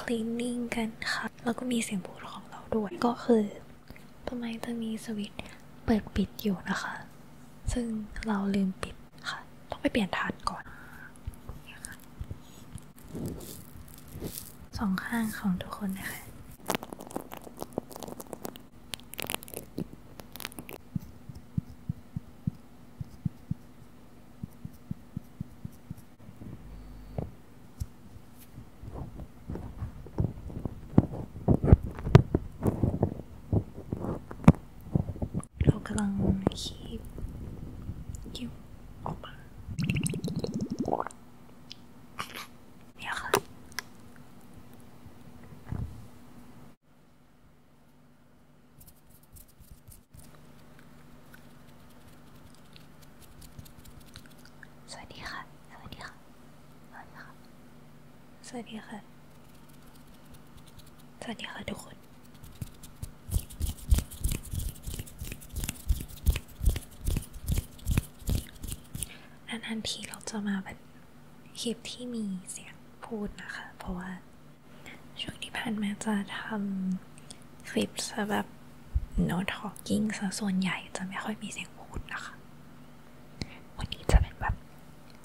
คลีนนิ่งกันค่ะ แล้วก็มีเสียงพูดของเราด้วย ก็คือ ทำไมจะมีสวิตช์เปิดปิดอยู่นะคะ ซึ่งเราลืมปิดค่ะ ต้องไปเปลี่ยนฐานก่อน สองข้างของทุกคนนะคะเรากำลังคีบคิ้วออกมาเนี่ยค่ะสวัสดีค่ะ สวัสดีค่ะ สวัสดีค่ะ สวัสดีค่ะสวัค่ะทุกคนนานๆทีเราจะมาแบบคลิปที่มีเสียงพูดนะคะ เพราะว่าช่วงที่ผ่านมาจะทำคลิปแบบ no talking ซะส่วนใหญ่จะไม่ค่อยมีเสียงพูดนะคะ วันนี้จะเป็นแบบ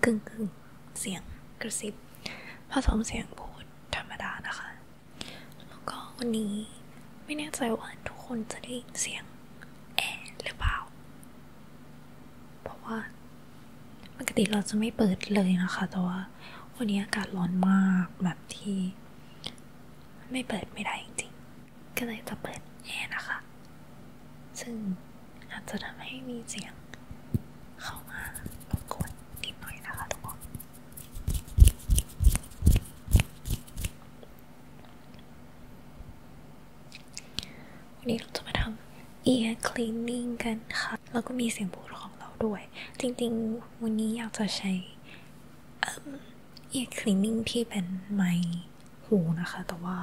กึ่งกึ่งเสียงกระซิบ ผสมเสียงพูดธรรมดานะคะ แล้วก็วันนี้ไม่แน่ใจว่าทุกคนจะได้ยินเสียงแอรหรือเปล่า เพราะว่าปกติเราจะไม่เปิดเลยนะคะแต่ว่าวันนี้อากาศร้อนมากแบบที่ไม่เปิดไม่ได้จริงๆก็เลยจะเปิดแอร์นะคะ ซึ่งอาจจะทำให้มีเสียงเข้ามาบกวนนิดหน่อยนะคะทุกคน วันนี้เราจะมาทำ ear cleaning กันค่ะ แล้วก็มีเสียงบูดของเราด้วยจริงๆวันนี้อยากจะใช้เอ่อ ear c l e น n i n g ที่เป็นไมค์หูนะคะ แต่ว่า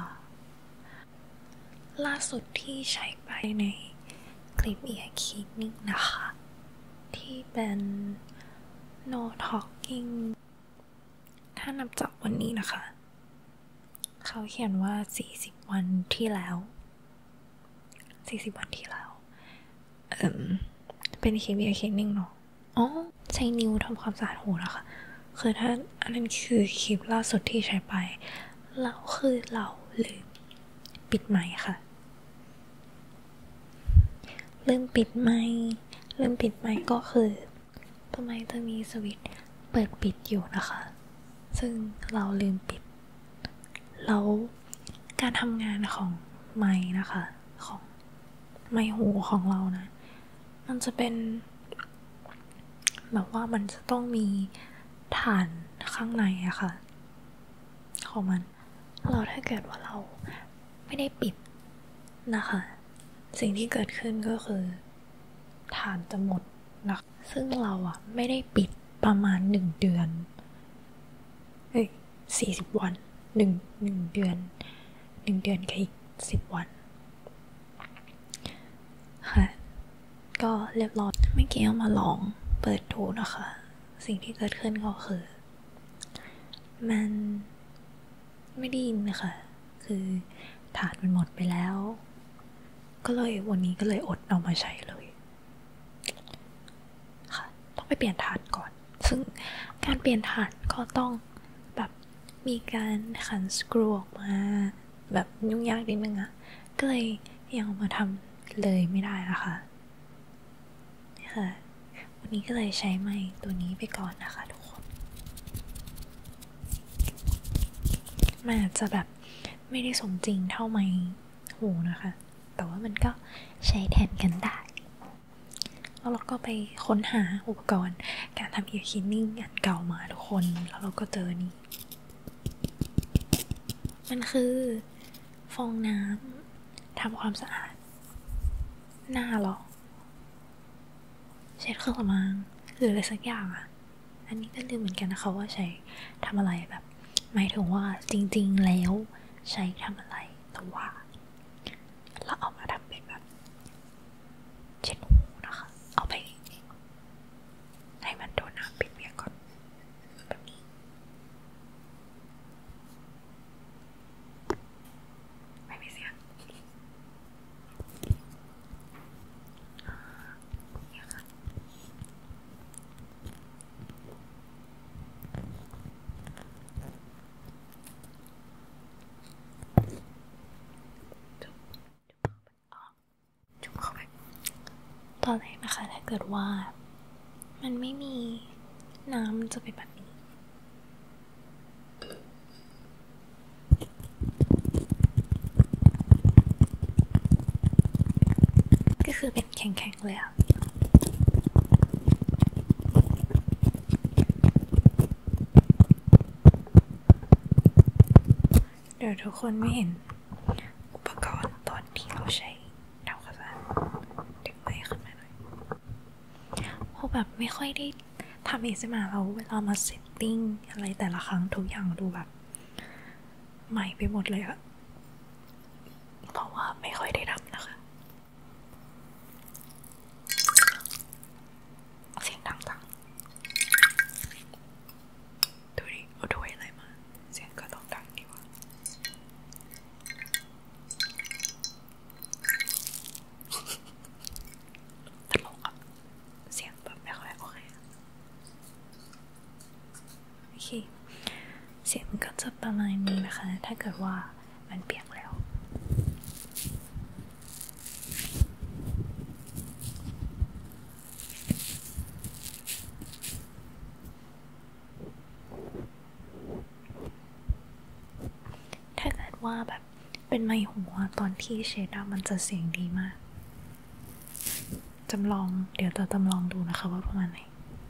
ล่าสุดที่ใช้ไปในคลิปเอียร์คลีนนิ่งนะคะ ที่เป็น no talking ถ้านับจากวันนี้นะคะ เขาเขียนว่า 40 วันที่แล้วสี่สิบวันที่แล้วเออเป็นเค้เบีเค้กนึ่งเนาะ อ๋อ ใช้นิ้วทำความสะอาดหูแล้วค่ะคือถ้าอันนั้นคือคลิปล่าสุดที่ใช้ไปแล้วคือ เราลืมปิดไม้ค่ะลืมปิดไม้ลืมปิดไม้ก็คือทำไมจะมีสวิตช์เปิดปิดอยู่นะคะ ซึ่งเราลืมปิด แล้วการทำงานของไม้นะคะของไม้หูของเรานะมันจะเป็นแบบว่ามันจะต้องมีฐานข้างในอะคะ่ะของมันเราถ้าเกิดว่าเราไม่ได้ปิดนะคะ สิ่งที่เกิดขึ้นก็คือ ฐานจะหมดนะซึ่งเราอะไม่ได้ปิดประมาณหนึ่งเดือนเอ้ยสี่สิบวัน หนึ่ง หนึ่งเดือน หนึ่งเดือนกับอีกสิบวัน ค่ะ ก็เรียบร้อยเมื่อกี้เอามาลองเปิดดูนะคะ สิ่งที่เกิดขึ้นก็คือ มันไม่ได้ยินนะคะคือถาดมันหมดไปแล้ว ก็เลยวันนี้ก็เลยอดเอามาใช้เลยค่ะต้องไปเปลี่ยนฐานก่อน ซึ่งการเปลี่ยนฐานก็ต้องแบบมีการขันสกรูออกมาแบบยุ่งยากนิดนึงอะก็เลย ยังมาทำเลยไม่ได้นะคะนี่ค่ะ วันนี้ก็เลยใช้ไม้ตัวนี้ไปก่อนนะคะทุกคนมันอาจจะแบบไม่ได้สมจริงเท่าไม้หูนะคะแต่ว่ามันก็ใช้แทนกันได้ แล้วเราก็ไปค้นหาอุปกรณ์การทำเอีคินนิ่งอันเก่ามาทุกคนแล้วเราก็เจอนี่ มันคือฟองน้ำทำความสะอาด หน้าหรอเช็ดเครื่องสำอางหรืออะไรสักอย่างอ่ะ อันนี้ก็ลืมเหมือนกันนะคะว่าใช้ทำอะไรแบบหมายถึงว่าจริงๆแล้วใช้ทำอะไรแต่ว่า เราเอามาทำเป็นแบบเช็ดหูนะคะ เอาไปให้มันโดนน้ำปิดเปียกก่อนแบบนี้ไม่มีเสียงนี่ค่ะตอนแรกนะคะถ้าเกิดว่ามันไม่มีน้ำจะเป็นแบบนี้ก็คือติแข็งๆ เลยเดี๋ยวทุกคนไม่เห็นอุปกรณ์ตอนที่เราใช้ดาวกระสานดึงไปขึ้นมาหน่อยเราแบบไม่ค่อยได้ทำเองสมาเราเวลามาเซตติ้งอะไรแต่ละครั้งทุกอย่างดูแบบใหม่ไปหมดเลยอะเพราะว่าไม่ค่อยได้รับนะคะ เสียงดังจดูดิ เอาด้อะไรมา เสียงก็ต้องดังดีวะตลกอะเสียงแบบไม่ค่อย โอเคเสียงก็จะประมาณนี้นะคะถ้าเกิดว่ามันเปียกแล้ว ถ้าเกิดว่าแบบเป็นไมหัวตอนที่เชดามันจะเสียงดีมากจำลองเดี๋ยวจะจำลองดูนะคะว่าประมาณไหน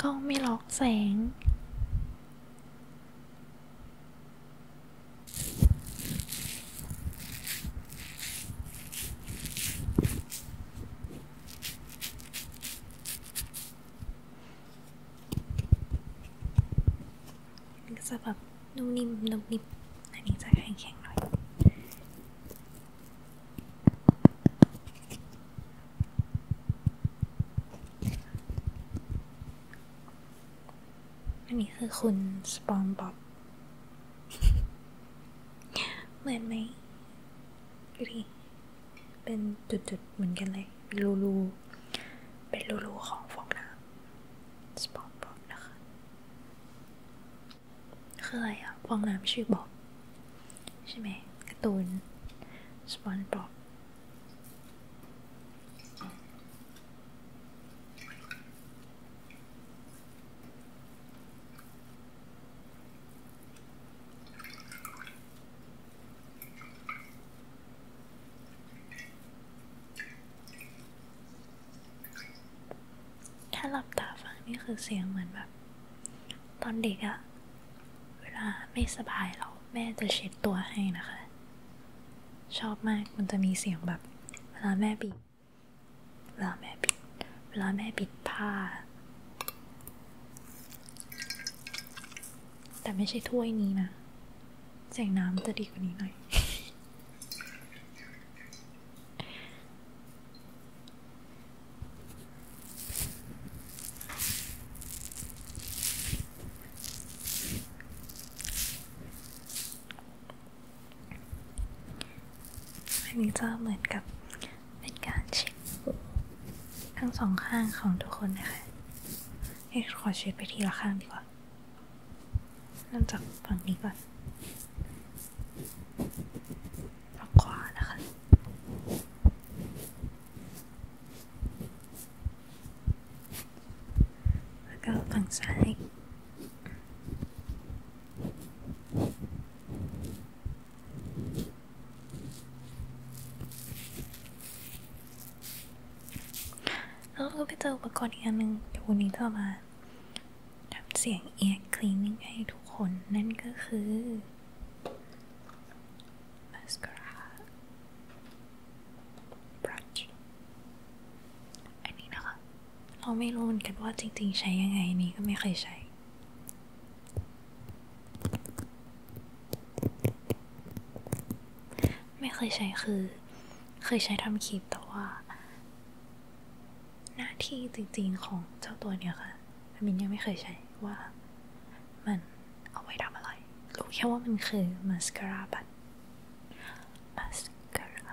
กล้องไม่ล็อกแสงจะแบบนุ่มนิ่มนุ่มนิ่มอันนี้จะแข็งๆหน่อยอันนี้คือคุณสปอนบ๊อบเหมือนไหมดูดิเป็นจุดๆเหมือนกันเลยเป็นรูๆเป็นรูๆของฟองน้ำสปอนบ๊อบนะคะคืออะไรอะฟองน้ำชื่อบอกใช่ไหมกระตูนสปอนบอกถ้าหลับตาฟังนี่คือเสียงเหมือนแบบ ตอนเด็กอะเวลาไม่สบายเราแม่จะเช็ดตัวให้นะคะ ชอบมากมันจะมีเสียงแบบ เวลาแม่ปิดเวลาแม่ปิดเวลาแม่ปิดผ้า แต่ไม่ใช่ถ้วยนี้นะเสียงน้ำจะดีกว่านี้หน่อยอันี้จะเหมือนกับเป็นการเช็ดทั้งสองข้างของทุกคนนะคะ ให้ขอเช็ดไปทีละข้างดีกว่าเริ่มจากฝั่งนี้ก่อนทางขวานะคะ แล้วก็ฝั่งซ้ายแล้วก็ไปเจออุปกรณ์อีกอันหนึ่งเดี๋ยววันนี้จะมาทำเสียงเอียร์คลีนนิ่งให้ทุกคนนั่นก็คือมาสคาร่าบลัชอันนี้นะคะ เราไม่รู้เหมือนกันว่าจริงๆใช้ยังไงนี้ก็ไม่เคยใช้ ไม่เคยใช้คือ เคยใช้ทำคลิปแต่ว่าหน้าที่จริงๆของเจ้าตัวเนี่ยค่ะมินยังไม่เคยใช้ว่ามันเอาไว้ทำอะไรรู้แค่ว่ามันคือมาสคาร่าบัตมาสคาร่า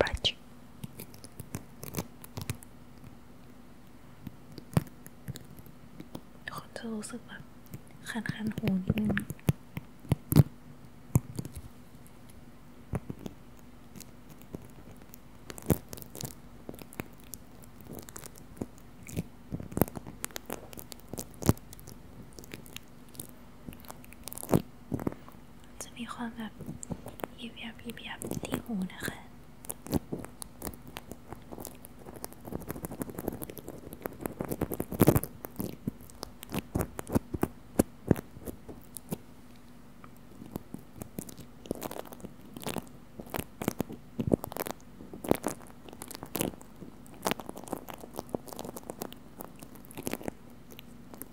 บัตคนจะรู้สึกแบบคันๆ หูนิดนึงจะมีความแบบยีบยับยีบยับที่หูนะคะ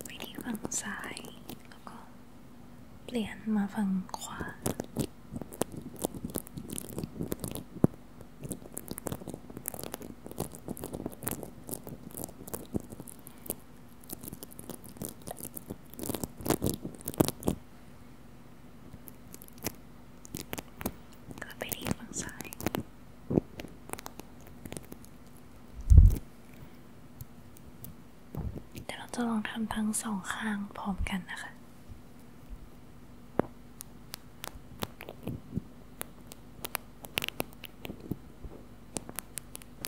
ไปที่ฝั่งซ้ายแล้วก็เปลี่ยนมาฝั่งขวาไปที่ฝั่งซ้ายเดีเราจะลองทำทั้งสองข้างพร้อมกันนะคะ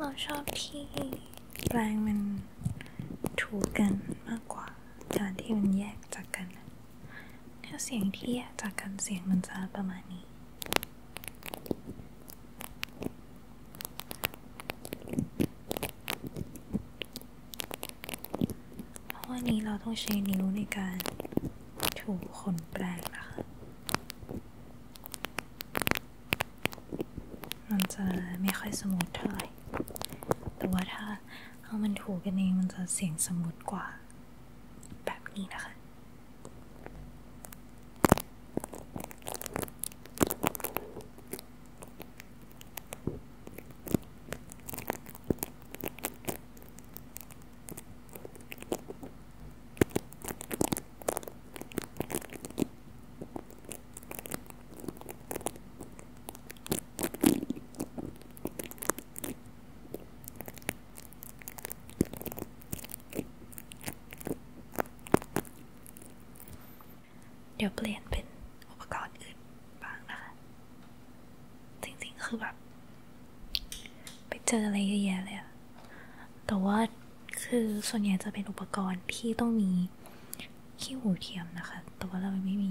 เราชอบที่แปรงมันถูกันมากกว่าจานที่มันแยกจากกันถ้าเสียงที่จากกันเสียงมันจะประมาณนี้ เพราะว่านี้เราต้องใช้นิ้วในการถูขนแปลงนะคะ มันจะไม่ค่อยสมูทเท่าไหร่แต่ว่าถ้าเอามันถูกันเองมันจะเสียงสมูทกว่าแบบนี้นะคะเดี๋ยวเปลี่ยนเป็นอุปกรณ์อื่นบ้างนะคะ จริงๆคือแบบไปเจออะไรเยอะแยะเลยอะแต่ว่าคือส่วนใหญ่จะเป็นอุปกรณ์ที่ต้องมีขี้หูเทียมนะคะ แต่ว่าเราไม่มี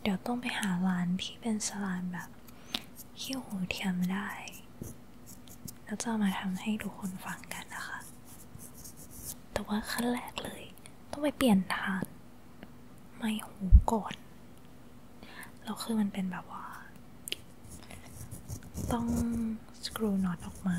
เดี๋ยวต้องไปหาร้านที่เป็นสลานแบบขี้หูเทียมได้ แล้วจะมาทำให้ทุกคนฟังกันนะคะ แต่ว่าขั้นแรกเลย ต้องไปเปลี่ยนฐานไม่หูก่อนแล้วคือมันเป็นแบบว่า ต้องสกรูน็อตออกมา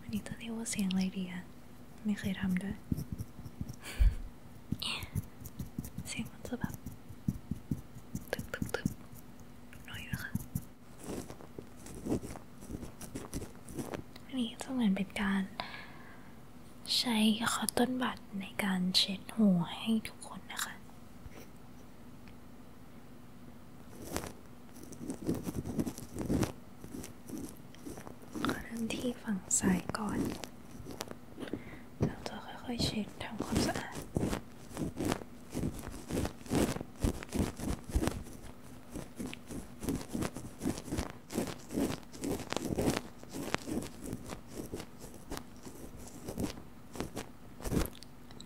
อันนี้ตะเนี้ว่าเสียงอะไรดีอะไม่เคยทำด้วยเสียงมันจะแบบ ตึบตึบตึบน่อยนะคะ นี้จะอนเป็นการใช้คอต้นบัดในการเช็ดหัวให้ทุกคนนะคะขอเริ่มที่ฝั่งซ้ายก่อนเราจะค่อยๆเช็ดทำความสะอาด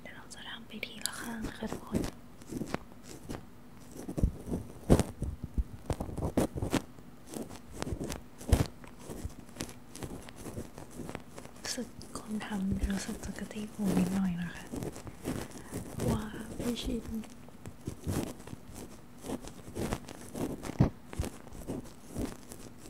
เดี๋ยวเราจะทำไปทีละข้างนะคะทุกคนสึกคนทำรู้สึกจะกระตี้หูนิดหน่อยนะคะว่าไม่ชิน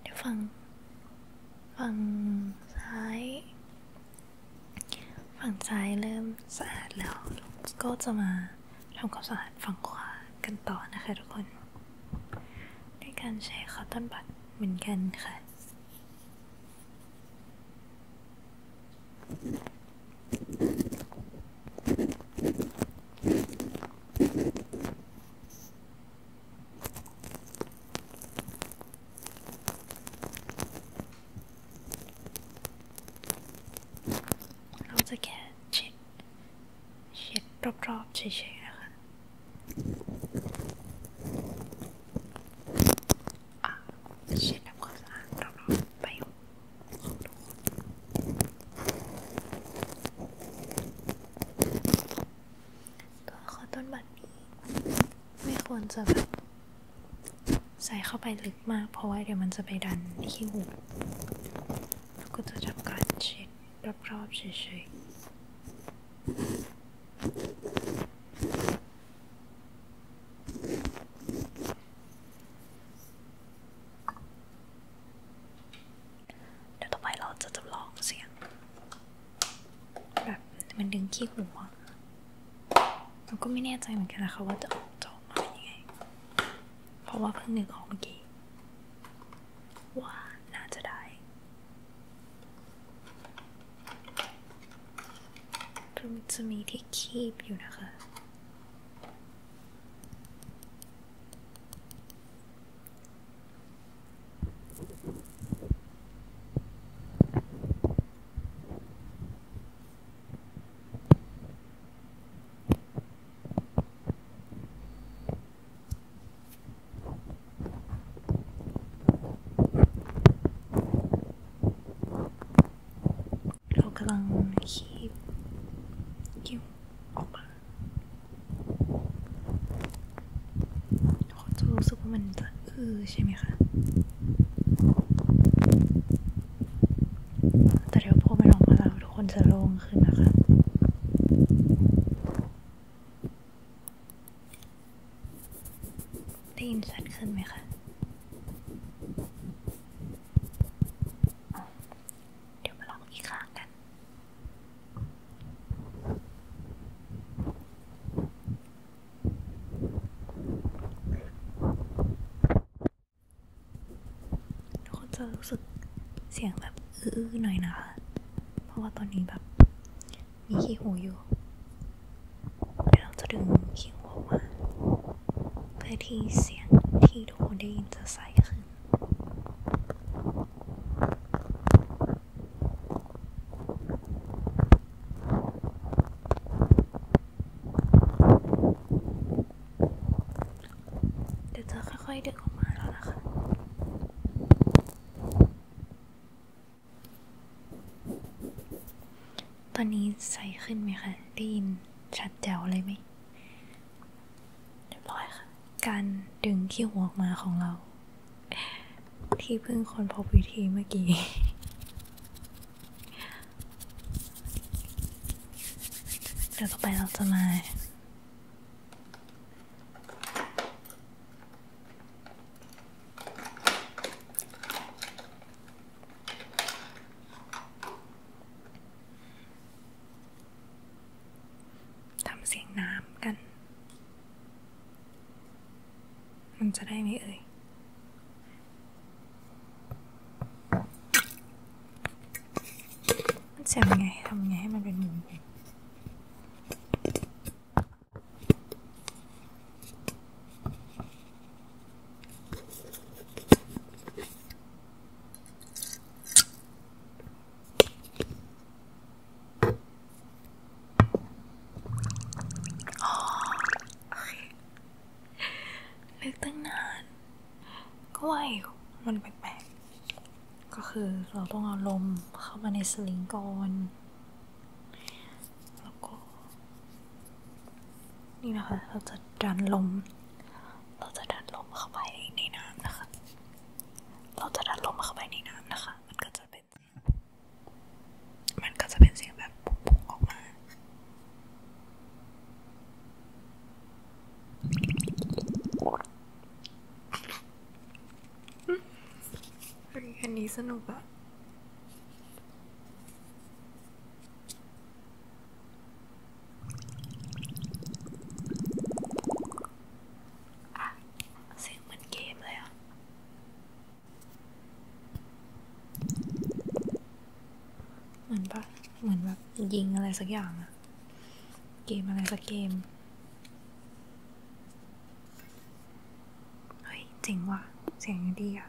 เดี๋ยวฝั่งฝั่งซ้าย ฝั่งซ้ายเริ่มสะอาดแล้วก็จะมาทำความสะอาดฝั่งขวากันต่อนะคะทุกคนด้วยการใช้คอตตอนบัดเหมือนกันค่ะเราจะแค่เช็ดเช็ดรอบๆเฉยๆนะคะเช็ดทำความสะอาดรอบๆไปตัวคอต้นบันี้ ไม่ควรจะแบบใส่เข้าไปลึกมาก เพราะว่าเดี๋ยวมันจะไปดันที่หูแล้วก็จะทำการเช็ดรอบๆเฉยๆเดี๋ยวต่อไปเราจะจำลองเสียง แบบมันดึงขี้หัวเราก็ไม่แน่ใจเหมือนกันนะคะว่าจะออกจะออกมาเป็นยังไงเพราะว่าเพิ่งนึกออกเมื่อกี้ว่าน่าจะได้ จะมีที่คีบอยู่นะคะเรากำลังคีบคีบออกมาเขาจะรู้สึกว่ามันจะอือใช่ไหมคะ แต่เดี๋ยวพอมันออกมาแล้วทุกคนจะโล่งขึ้นนะคะได้ยินชัดขึ้นไหมคะเดี๋ยวมาลองอีกครังกันทคนจะรู้สึกเสียงแบบอื้อหน่อยนะเพราะว่าตอนนี้แบบมีขี้หูอยู่เราจะดึงขี้หอมาเพื่อที่เสียงที่ทุกคนได้ยินจะใสขึ้นเดี๋ยวจะค่อยๆดึงออกมาแล้วนะคะ ตอนนี้ใสขึ้นไหมคะได้ยินชัดแจ๋วเลยไหมเรียบร้อยค่ะการดึงขี้หัวออกมาของเราที่เพิ่งคนพบวิธีเมื่อกี้เดี๋ยวต่อไปเราจะมาทำเสียงน้ำกัน มันจะได้ไหมเอ่ยมันเสียงไงทำไงให้มันเป็นหมุนอ๋อโอเคนึกตั้งนาน ก็ว่ามันแปลกๆ ก็คือเราต้องเอาลมเข้ามาในสลิงก่อน แล้วก็นี่นะคะ เราจะดันลม เราจะดันลมเข้าไปในน้ำนะคะ เราจะดันลมเข้าไปในน้ำนะคะ มันก็จะเป็นมันก็จะเป็นเสียงแบบปุ๊บออกมาอันนี้สนุกอะเสียงเหมือนเกมเลยอ่ะ เหมือนปะเหมือนแบบยิงอะไรสักอย่างอะเกมอะไรสักเกม เฮ้ยเจ๋งว่ะเสียงดีอ่ะ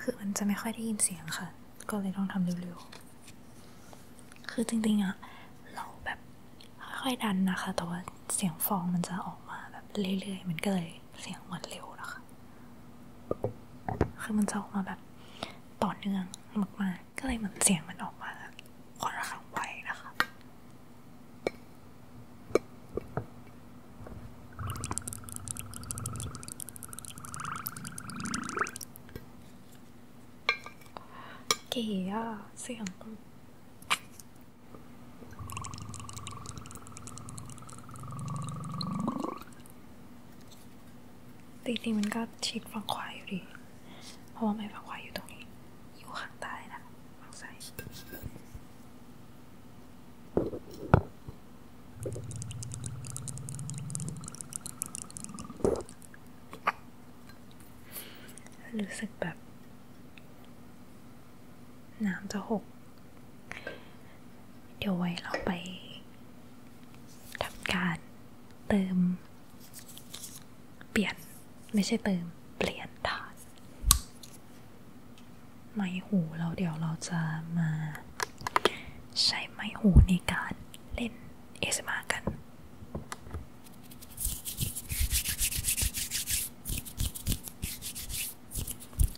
คือมันจะไม่ค่อยได้ยินเสียงค่ะ ก็เลยต้องทำเร็วๆ คือจริงๆอะเราแบบค่อยๆดันนะคะ แต่ว่าเสียงฟองมันจะออกมาแบบเรื่อยๆ มันก็เลยเสียงมันเร็วนะคะ คือมันจะออกมาแบบต่อเนื่องมากๆ ก็เลยเหมือนเสียงมันออกมาค่อนข้างไวนะคะเก๋อะเสียงตีตีมันก็ชิดฝั่งขวาอยู่ดีเพราะว่าไม้ฝั่งขวาอยู่ตรงนี้ อยู่ข้างใต้นะฝั่งซ้ายรู้สึกแบบน้ำจะหก เดี๋ยวไว้เราไปทำการเติม เปลี่ยนไม่ใช่เติมเปลี่ยนฐานไม้หูเราเดี๋ยวเราจะมา ใช้ไม้หูในการเล่นเอสมากัน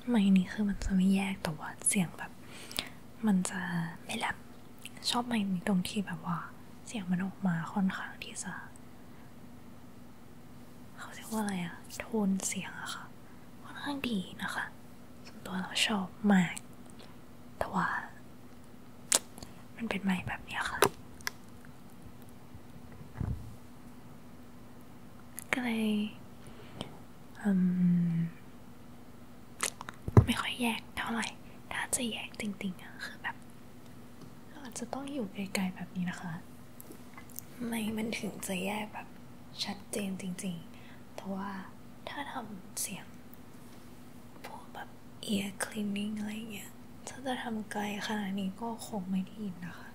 ไม้นี้คือมันจะไม่แยกแต่ว่าเสียงแบบ มันจะไม่แหลมชอบไม้นี้ตรงที่แบบว่าเสียงมันออกมาค่อนข้างที่จะเขาเรียกว่าอะไรอะ โทนเสียงอะค่ะค่อนข้างดีนะคะส่วนตัวเราชอบมาก แต่ว่า มันเป็นไม้แบบนี้ค่ะก็เลยมไม่ค่อยแยกเท่าไหร่ถ้าจะแยกจริงๆอะคือแบบเราอาจจะต้องอยู่ไกลๆแบบนี้นะคะ ไม่มันถึงจะแยกแบบชัดเจนจริงแต่ว่าถ้าทำเสียง พวกแบบเอียร์คลีนนิ่งอะไรอเงี้ยถ้าจะทำไกลขนาดนี้ก็คงไม่ได้ยินนะคะ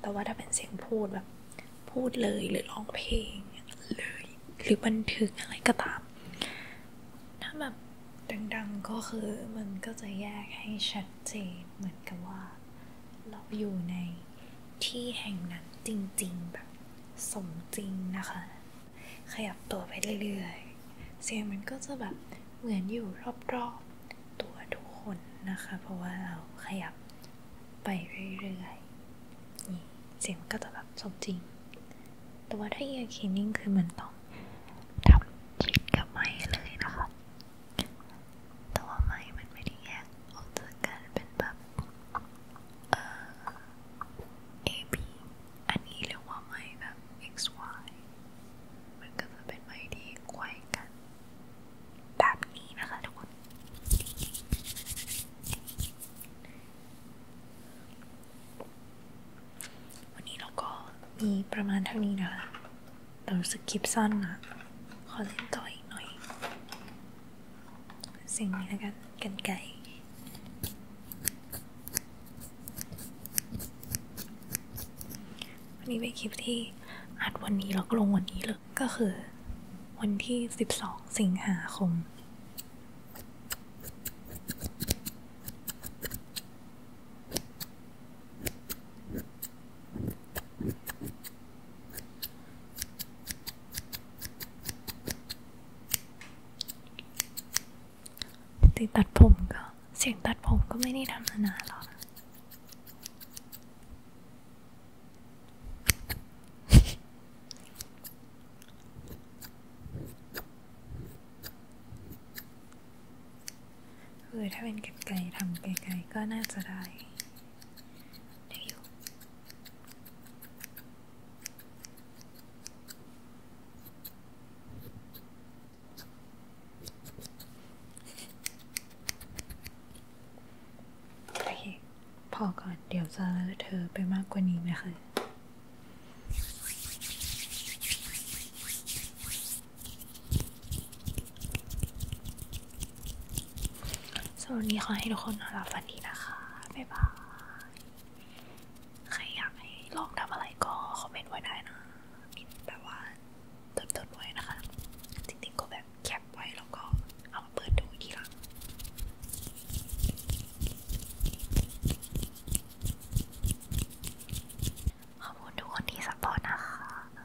แต่ว่าถ้าเป็นเสียงพูดแบบพูดเลยหรือร้องเพลงเลย หรือบันทึกอะไรก็ตาม ถ้าแบบดังๆก็คือมันก็จะแยกให้ชัดเจนเหมือนกับว่าเราอยู่ในที่แห่งนั้นจริงๆ แบบสมจริงนะคะ ขยับตัวไปเรื่อยๆ เสียงมันก็จะแบบเหมือนอยู่รอบๆตัวทุกคนนะคะ เพราะว่าเราขยับไปเรื่อยๆนี่เสียงก็จะแบบสมจริงแต่ว่าถ้าเอียร์คีนิ่งคือเหมือนต้องทำจิตกับไม้เลยนะคะแต่ว่าไม้มันไม่ได้แยกออกจากกันเป็นแบบเอ่อ AB อันนี้เรียกว่าไม้แบบ XY มันก็จะเป็นไม้ที่ไขว้กันแบบนี้นะคะทุกคนวันนี้เราก็มีประมาณเท่านี้นะคะเรารู้สึกคลิปซ่อนอะขอเล่นต่อยหน่อย สิ่งนี้แล้วกัน กันไก่วนี้เป็นคลิปที่อัดวันนี้แล้วก็ลงวันนี้เลย ก็คือวันที่ 12 สิงหาคมติดตัดผมก็เสียงตัดผมก็ไม่ได้ทำมานานหรอกเออถ้าเป็นไกลๆทำไกลๆก็น่าจะได้ได้อยูพอก่อนเดี๋ยวจะเลอะเธอไปมากกว่านี้นะคะสวัสดีขอให้ทุกคนนอนหลับฝันดีนะคะบ๊ายบายใครอยากให้ลองทำอะไรก็คอมเมนต์ไว้ได้นะมินแบบว่าเติมเติมไว้นะคะ จริงๆก็แบบแคปไว้แล้วก็เอามาเปิดดูทีหลังขอบคุณทุกคนที่สปอร์ตนะคะ